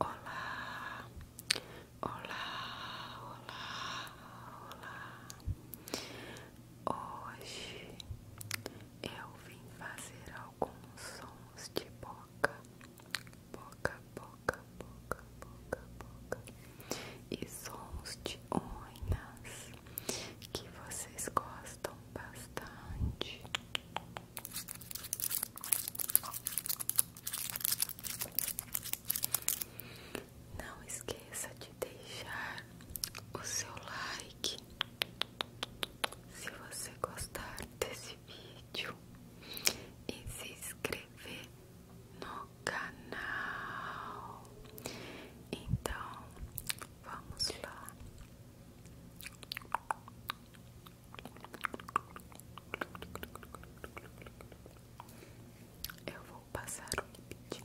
Olá, olá, olá, olá. Hoje eu vim fazer alguns sons de boca, boca, boca, boca, boca, e sons de unhas que vocês gostam bastante. Não esqueça de deixar o seu like se você gostar desse vídeo e se inscrever no canal. Então, vamos lá. Eu vou passar o limite.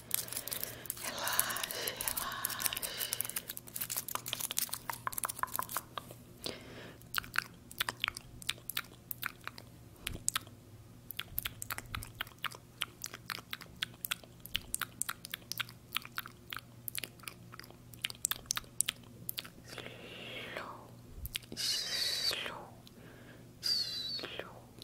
Relaxe, relaxe. Slow, slow, slow,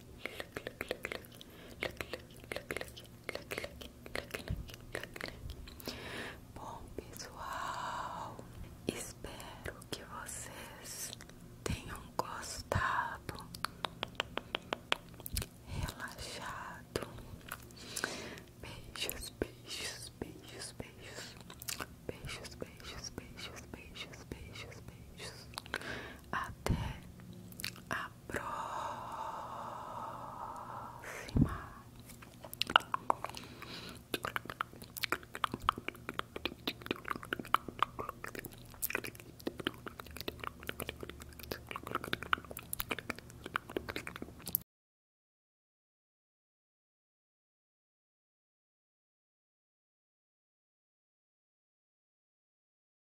Bom, pessoal, espero que vocês tenham gostado, relaxado. Beijos, beijos, beijos, beijos. Beijos, beijos, beijos, beijos, beijos, beijos. Até a próxima.